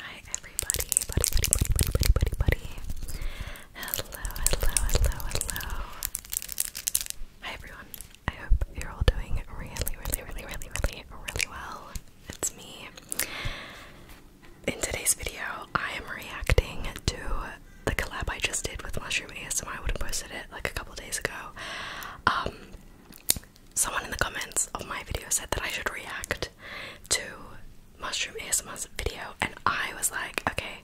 Hi everybody, buddy, buddy, buddy, buddy, buddy, buddy, buddy. Hello, hello, hello, hello. Hi everyone. I hope you're all doing really, really, really, really, really, really well. It's me. In today's video, I am reacting to the collab I just did with Mushroom ASMR. I would have posted it like a couple days ago. Um, someone in the comments of my video said that I should react to Mushroom ASMR's video and I was like, okay,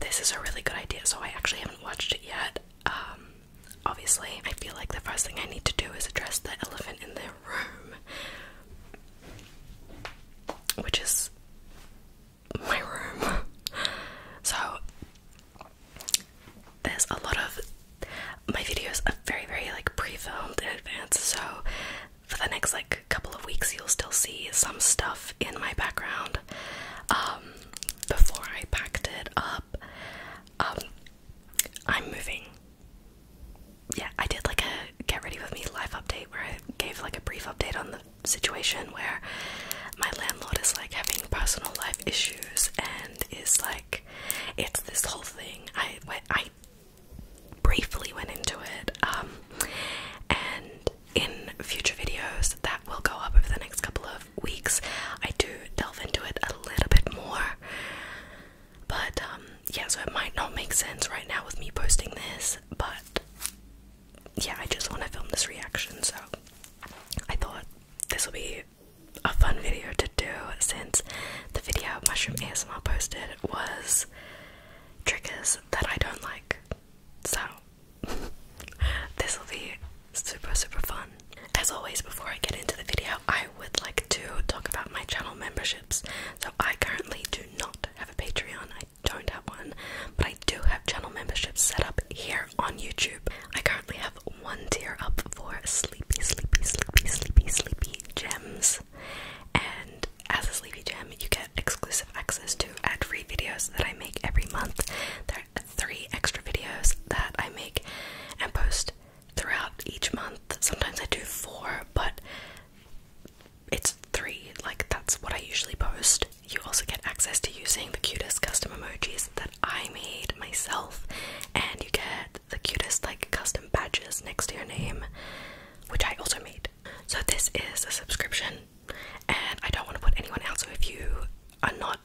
this is a really good idea. So I actually haven't watched it yet. Um, obviously, I feel like the first thing I need to do is address the elephant in the room, which is my room. so there's a lot of my videos are very, very like pre-filmed in advance, so for the next like couple of weeks you'll still see some stuff in my background. Um, before I packed it up, um, I'm moving. Yeah, I did like a get ready with me live update where I gave like a brief update on the situation where my landlord is like having personal life issues and is like it's this whole thing. I I briefly went into it, um, and in future videos that will go up over the next couple of weeks, I do delve into it a little bit more. But um, yeah, so it might not make sense right now with me posting this, but yeah, I just want to film this reaction, so I thought this will be a fun video to do since the video Mushroom ASMR posted was triggers that I don't like. So, this will be super, super fun. As always, before I get into the video, I would like to talk about my channel memberships. So, I currently do not have a Patreon, I don't have one, but I do have channel memberships set up here on YouTube. I currently have one tier up for sleepy, sleepy, sleepy, sleepy, sleepy gems. And as a Sleepy Gem, you get exclusive access to ad free videos that I make every month. There are three extra videos that I make and post throughout each month. Sometimes I do four, but it's three. Like, that's what I usually post. You also get access to using the cutest custom emojis that I made myself, and you get the cutest, like, custom badges next to your name which I also made. So this is a subscription, and I don't want to put anyone out. So if you are not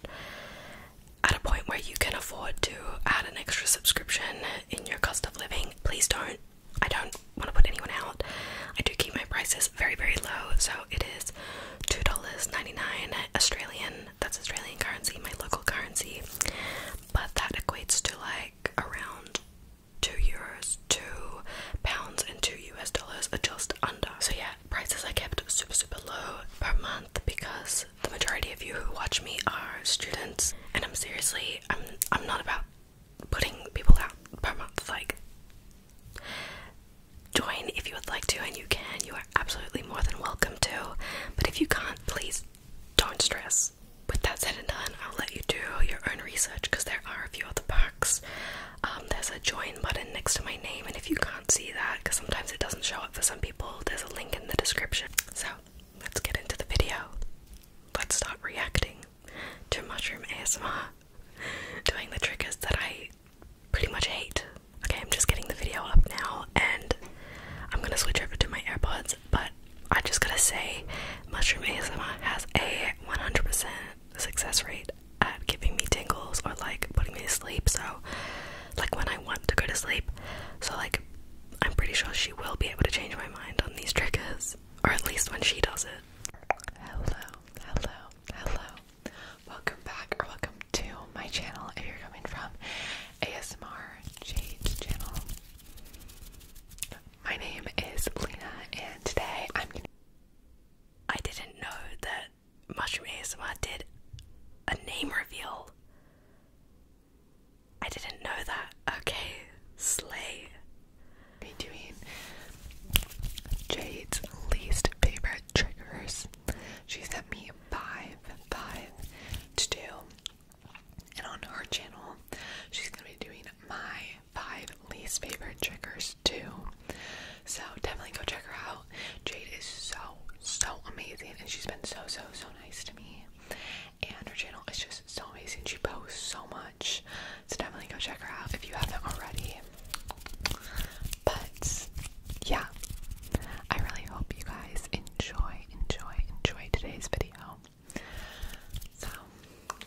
at a point where you can afford to add an extra subscription in your cost of living, please don't. I don't want to put anyone out. I do keep my prices very, very low, so it is $2.99 Australian. That's Australian currency, my local currency. But that equates to like around two euros, two pounds, and two US dollars are just under. So, yeah, prices I kept super, super low per month because the majority of you who watch me are students, and I'm seriously, I'm, I'm not about putting people out per month. Like, join if you would like to, and you can, you are absolutely more than welcome to. But if you can't, please don't stress with that said and done, I'll let you do your own research because there are a few other packs. Um, there's a join button next to my name, and if you can't see that, because sometimes it doesn't show up for some people, there's a link in the description. So let's get into the video. Let's start reacting to mushroom ASMR, doing the triggers that I pretty much hate. Okay, I'm just getting the video up now, and I'm gonna switch over to my AirPods, but I am just going to say, mushroom ASMR has a 100% success rate at giving me tingles or like putting me to sleep. So, like when I want to go to sleep, so like I'm pretty sure she will be able to change my mind on these triggers, or at least when she does it. Hello, hello, hello. Welcome back, or welcome to my channel if you're coming from ASMR Jade's channel. My name is Lena, and today I'm gonna. I am i did not know that Mushroom ASMR did a name reveal. I didn't know that. Okay, slay. Be doing Jade's least favorite triggers. She sent me five, five to do and on her channel, she's gonna be doing my five least favorite triggers too. So definitely go check her out. Jade is so so amazing, and she's been so so so nice to me. And her channel is just so amazing. She posts so much, so definitely go check her out if you haven't already. But yeah, I really hope you guys enjoy enjoy enjoy today's video. So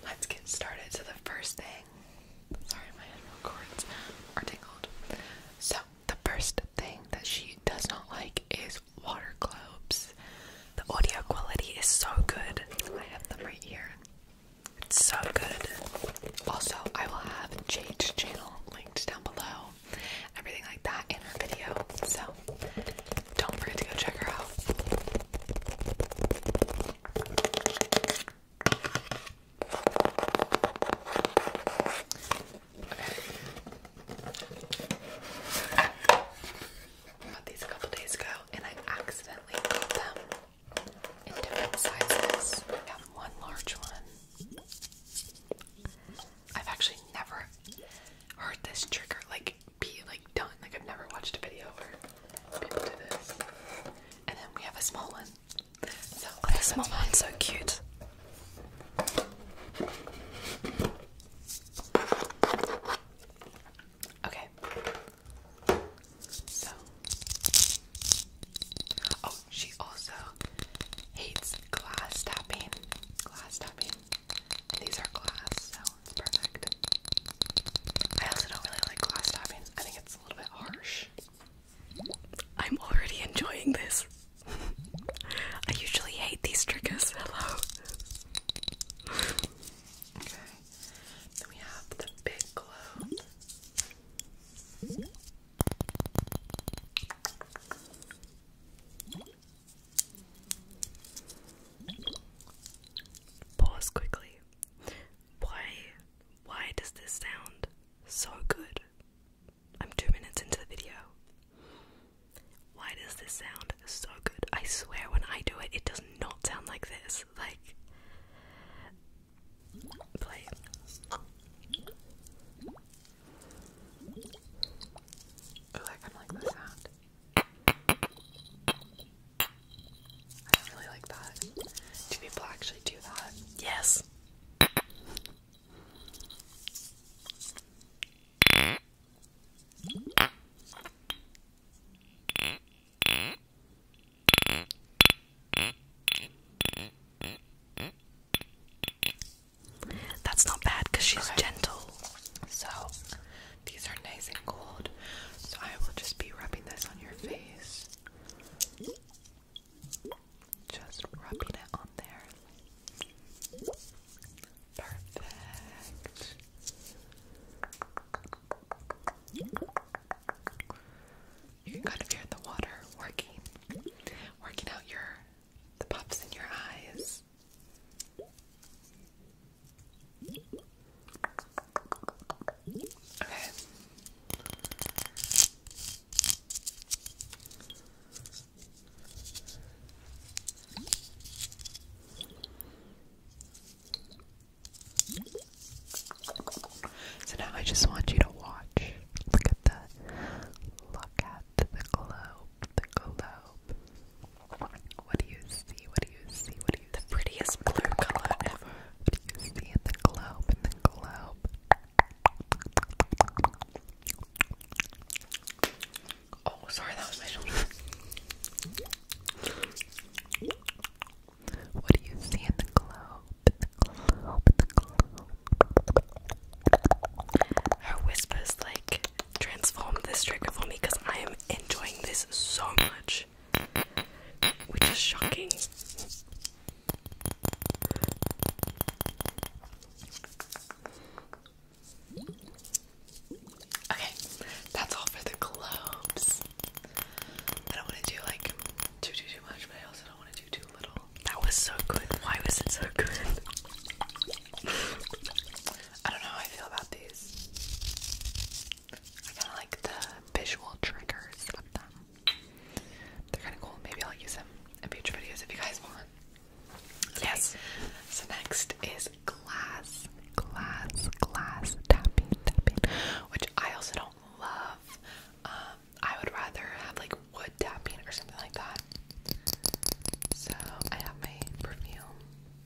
let's get started. So the first thing, sorry, my head cords are tingled. So the first thing that she does not like is water globes. The audio quality is so good. I have them right here. It's so good. Also, I will have Jade's channel linked down below. Everything like that in her video. So don't forget to go check her out. bought these a couple days ago and I accidentally got them in different sizes. I have one large one. I've actually never heard this trigger. Like, be like done. Like I've never watched a video where people do this. And then we have a small one. So oh, small one's so cute. Okay. So Oh, she also hates glass tapping. Glass tapping. these are glass, so perfect. I also don't really like glass tapping. I think it's a little bit harsh. I'm already enjoying this. I usually hate these triggers. Hello. Okay. Then we have the big glow. Pause quickly. Why why does this sound so good? I'm two minutes into the video. Why does this sound so good? I swear when I do it it does not sound like this. Like play. Oh, I kinda like the sound. I do really like that. Do people actually do that? Yes. That's not bad because she's gentle. So these are nice and cold, so I will just be rubbing this on your face. Just rubbing it on there. Perfect. You can kind of hear the water working, working out your the puffs in your eyes. So now I just want you to watch. Look at the look at the globe, the globe. What do you see? What do you see? What do you see? The prettiest blue color ever. What do you see in the globe? In the globe. Oh, sorry, that was my shoulder. What do you see in the globe? In the globe, in the globe. Her whispers like transform this trigger for me because I am enjoying this so much, which is shocking. Okay, that's all for the globes. I don't want to do like too too too much, but I also don't want to do too little. That was so good. Why was it so good? I don't know how I feel about these. I kind of like the visual triggers of them. They're kind of cool. Maybe I'll use them in future videos if you guys want. Yes. So next is glass, glass, glass tapping, tapping, which I also don't love. Um, I would rather have like wood tapping or something like that. So I have my perfume.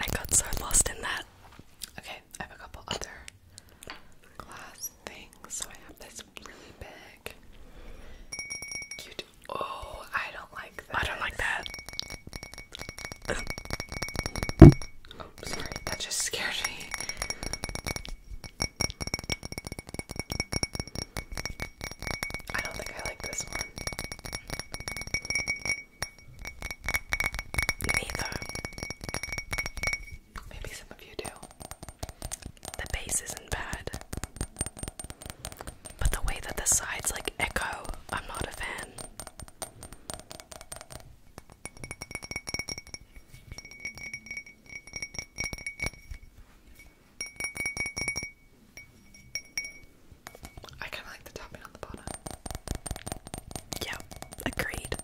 I got so lost in that. Okay, I have a couple other glass things. So I have this really big, cute. Oh, I don't like that. I don't like that oh, sorry, that just scared me. I don't think I like this one. Neither. Maybe some of you do. The bass isn't bad. But the way that the sides like echo, I'm not a fan. I kind of like the tapping on the bottom. Yeah, agreed.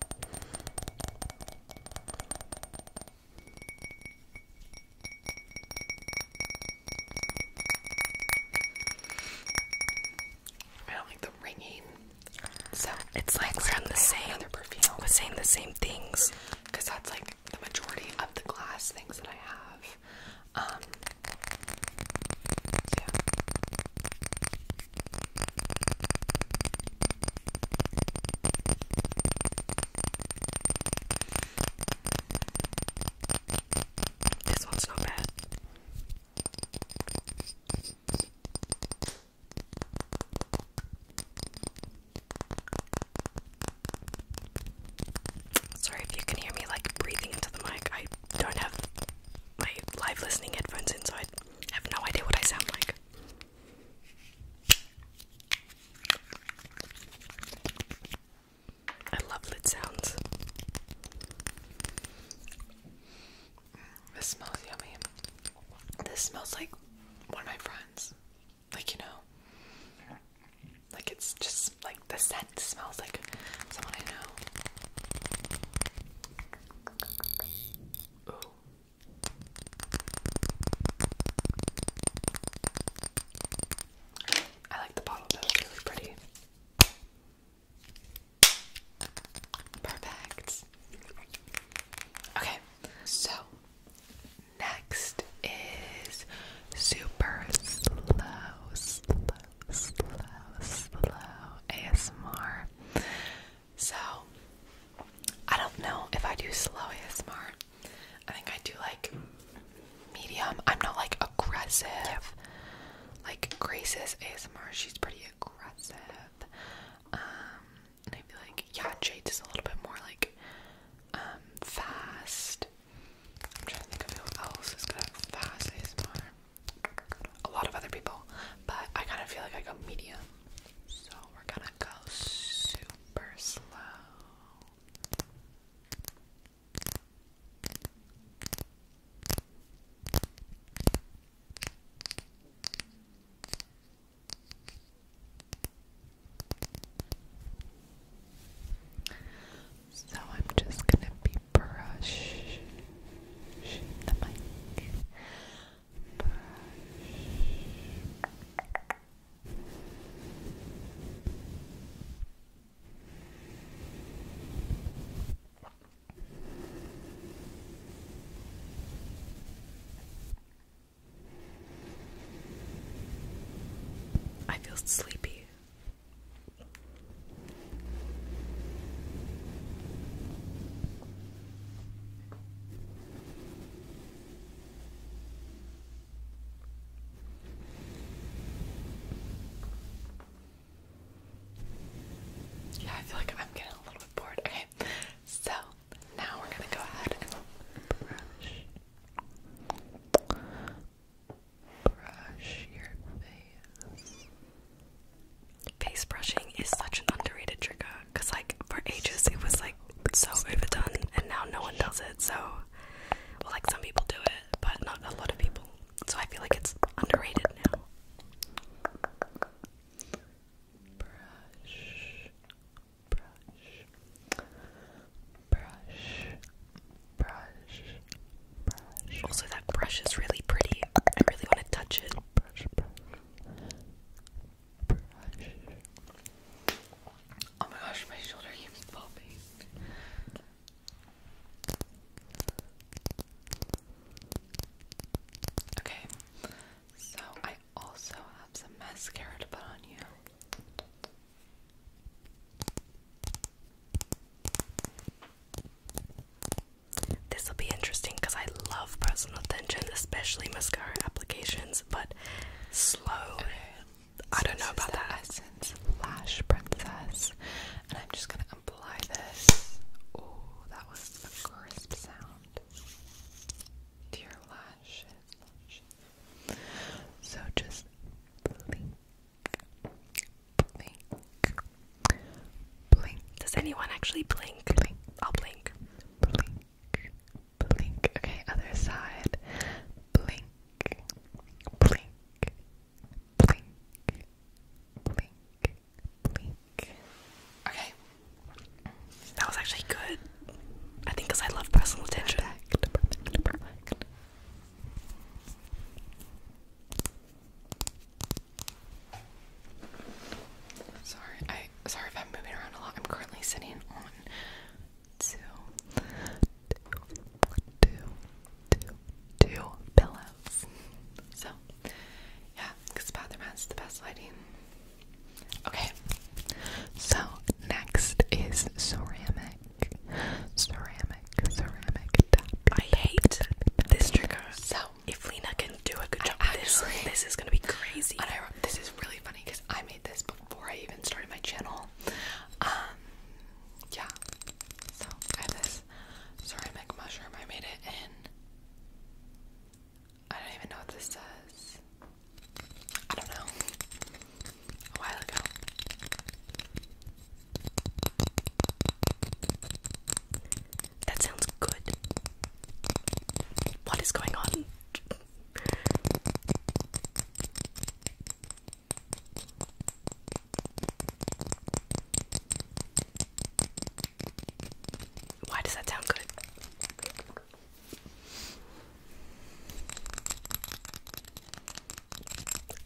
I don't like the ringing. So it's like we're on the same other perfume. We're saying the same things because that's like the majority of the glass things that I have. Um, this one's not bad. Sorry if you can hear me like breathing into the mic. I don't have my live listening headphones in, so I have no idea what I sound like. I love lid sounds. This smells yummy. This smells like one of my friends. Like, you know, like it's just like the scent smells like someone I know. Ooh. I like the bottle though, really pretty. Perfect. Okay, so next is super slow, slow, slow, slow ASMR. So I don't know if I do slow ASMR. I think I do like medium. I'm not like aggressive like Grace's ASMR, she's pretty aggressive. I'd um, be like, yeah, Jade is a little bit more like um, fast. I'm trying to think of who else is gonna fast ASMR. A lot of other people, but I kind of feel like I go medium. So we're gonna go super slow. So I'm just gonna be Brush. I feel sleepy. Yeah, I feel like I'm getting a little bit bored. Okay, so now we're gonna go ahead and brush, brush your face. Face brushing is such an underrated trick because, uh, like, for ages it was like so overdone, and now no one does it. So, well, like some people do it, but not a lot of people. So I feel like it's underrated now. Brush, brush, brush, brush, brush. Also, that brush is really pretty. I really want to touch it. Brush, brush, brush. Oh my gosh, my shoulder keeps popping. Okay, so I also have some mascara to put on you. This will be interesting because I love personal attention, especially mascara applications, but slow. Okay. I don't know about that. Essence Lash Princess and I'm just gonna apply this. Oh, that was a crisp sound. To your lashes. So just blink, blink, blink. Does anyone actually blink? Blink. I'll blink. Blink, blink. Okay, other side. Blink, blink, blink, blink, Okay, that was actually good. I think because I love personal attention. Sorry, I sorry if I'm moving around a lot. I'm currently sitting on two, two, two, two, two pillows. So, yeah, because bathroom has the best lighting. Okay, so next is ceramic. Ceramic, ceramic I hate this trick. So, if Lena can do a good job, this, is gonna be crazy. this is really funny because I made this before I even started my channel. Um, yeah, so I this this ceramic mushroom. I made it in. I don't even know what this says. I don't know. A while ago. That sounds good. What is going on? Why does that sound good?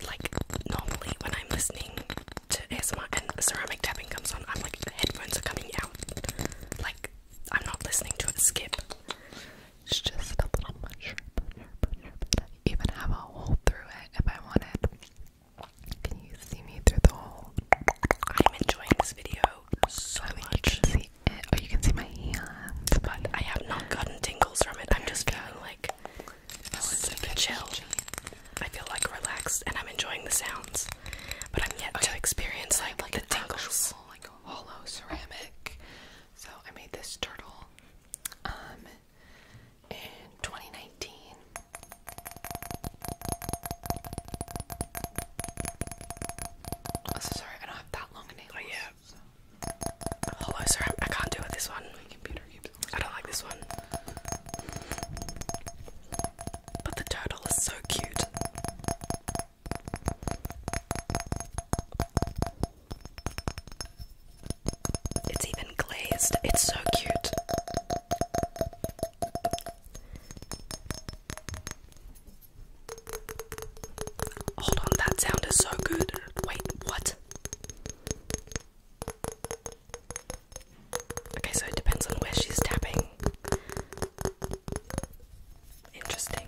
Like normally when I'm listening to ASMR and ceramic tapping comes on, I'm like the headphones are coming out. Like I'm not listening to it skip. It's just a little much. Even have a hole through it if I wanted. Can you see me through the hole? I'm enjoying this video so I much. You can see it. Oh, you can see my hand, But I have not gotten tingles from it. I'm just feeling like oh, super chill. I feel like relaxed and I'm enjoying the sounds. But I'm yet to experience like, like the tingles. Actual, like hollow ceramic. So I made this turtle. Um in 2019. sorry, I don't have that long a nail. yeah. Hello, sir. I can't do it this one. My computer keeps I don't like this one. But the turtle is so cute. It's even glazed. It's so cute. Hold on, that sound is so good. Wait, what? Okay, so it depends on where she's tapping. Interesting.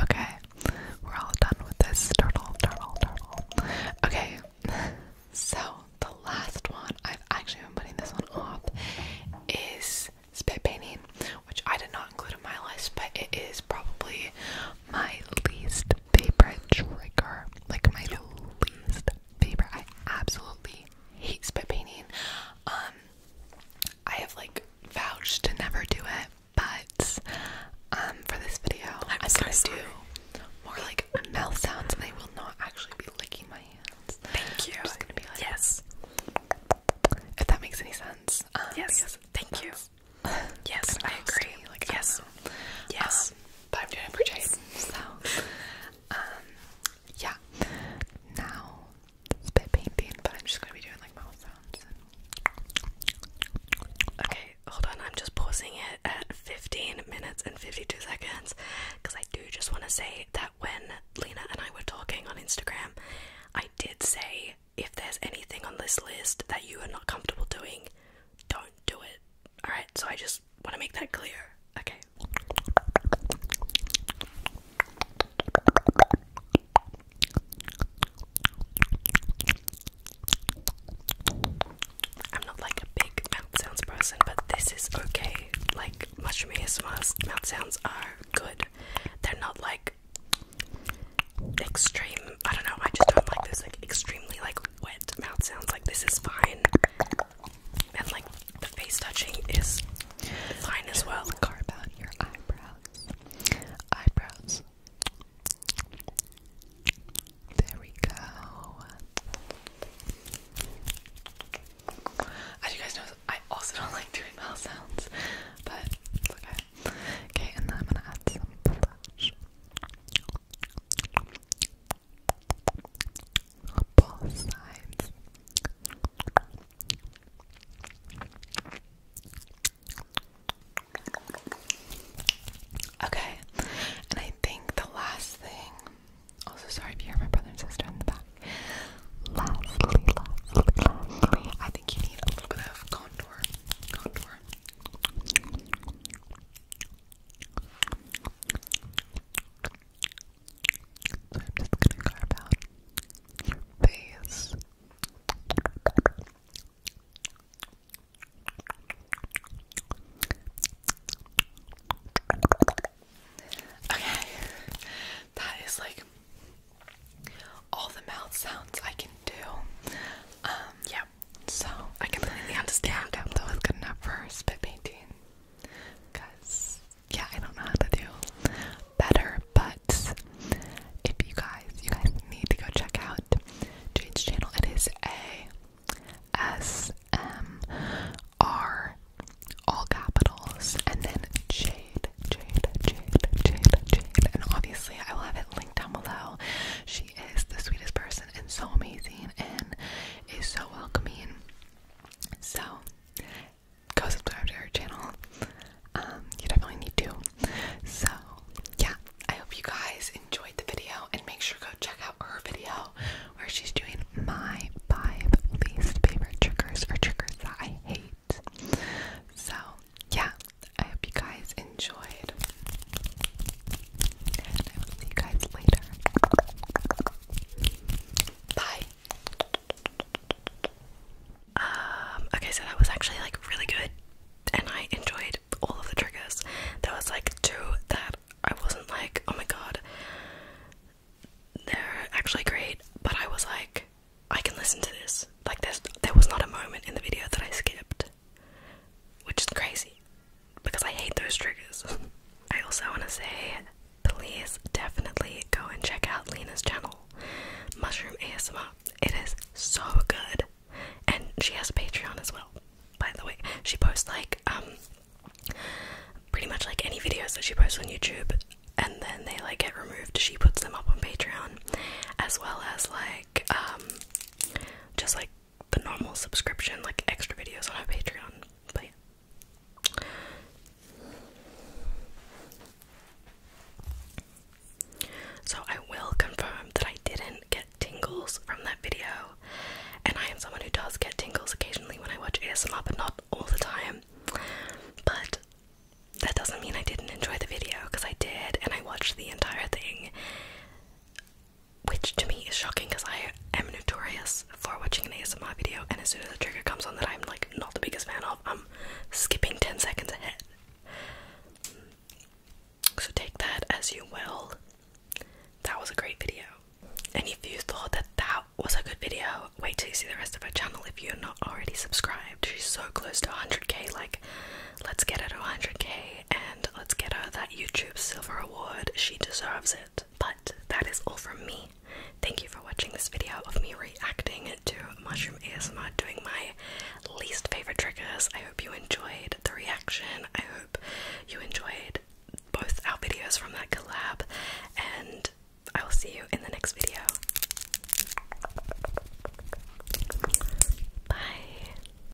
Okay, we're all done with this turtle, turtle, turtle. Okay, so the last one, I've actually been putting this one off, is spit painting, which I did not include in my list, but it is probably my least favorite trigger. Like my least favorite. I absolutely hate spit painting. Um I have like vouched to never do it, but um for this video I'm, i gonna do more like mouth sounds and I will not actually be licking my hands. Thank you. Yes. If that makes any sense. Um, yes. Thank you. Yes. Yes, I agree. Like, yes. Um, yes. Um, but I'm doing it for Jason. So, um, yeah. Now, it's a bit painful, but I'm just going to be doing like mouth sounds. Okay, hold on. I'm just pausing it at 15 minutes and 52 seconds because I do just want to say that when Lena and I were talking on Instagram, I did say if there's anything on this list that you are not comfortable doing, don't do it. Alright, so I just want to make that clear. Okay. I'm not like a big mouth sounds person, but this is okay. Like, mushroom ASMR mouth sounds are good. They're not like extreme. I don't know, I just don't like this like extremely like wet mouth sounds like this is fine and like the face touching is fine as well carve out your eyebrows eyebrows there we go as you guys know I also don't like doing mouth sounds but okay okay and then I'm gonna add some blush both sides. Okay, and I think the last thing. Also, sorry if you hear my brother and sister in the back. Lastly, I think you need a little bit of contour. So I'm just gonna carve out your face. Okay, that is like all the mouth sounds I can do. Um, yeah, so I completely understand. That was good enough for spit painting, because yeah, I don't know how to do better. But if you guys, you guys need to go check out Jade's channel. It is a S M R, all capitals, and then Jade, Jade, Jade, Jade, Jade, and obviously I will have it linked down below. She is the sweetest person and so amazing and is so welcoming. So go subscribe to her channel. Um, you definitely need to. So yeah, I hope you guys enjoyed the video and make sure go check out her video where she's doing my five least favorite triggers or triggers that I hate. So yeah, I hope you guys enjoyed. I will see you guys later. Bye. Um, okay, so that was actually like really good and I enjoyed all of the triggers. There was like two that I wasn't like, oh my god, they're actually great, but I was like, I can listen to this. Like there's there was not a moment in the video that I skipped. Which is crazy because I hate those triggers. I also want to say please definitely go and check out Lena's channel, Mushroom ASMR. It is so good. And she has a Patreon as well, by the way. She posts like um pretty much like any videos that she posts on YouTube and then they like get removed. She puts them up on Patreon as well as like um just like the normal subscription, like extra videos on our Patreon. But yeah. So I will confirm that I didn't get tingles from that video. And I am someone who does get tingles occasionally when I watch ASMR, but not all the time. But that doesn't mean I didn't enjoy the video, because I did, and I watched the entire thing which to me is shocking because I am notorious for watching an ASMR video and as soon as the trigger comes on that I'm like not the biggest fan of, I'm skipping 10 seconds ahead. So take that as you will. That was a great video. And if you thought that that was a good video, wait till you see the rest of her channel if you're not already subscribed. She's so close to 100k, like, let's get her to 100k let's get her that YouTube Silver Award. She deserves it. But that is all from me. Thank you for watching this video of me reacting to Mushroom ASMR doing my least favorite triggers. I hope you enjoyed the reaction. I hope you enjoyed both our videos from that collab, and I will see you in the next video. Bye.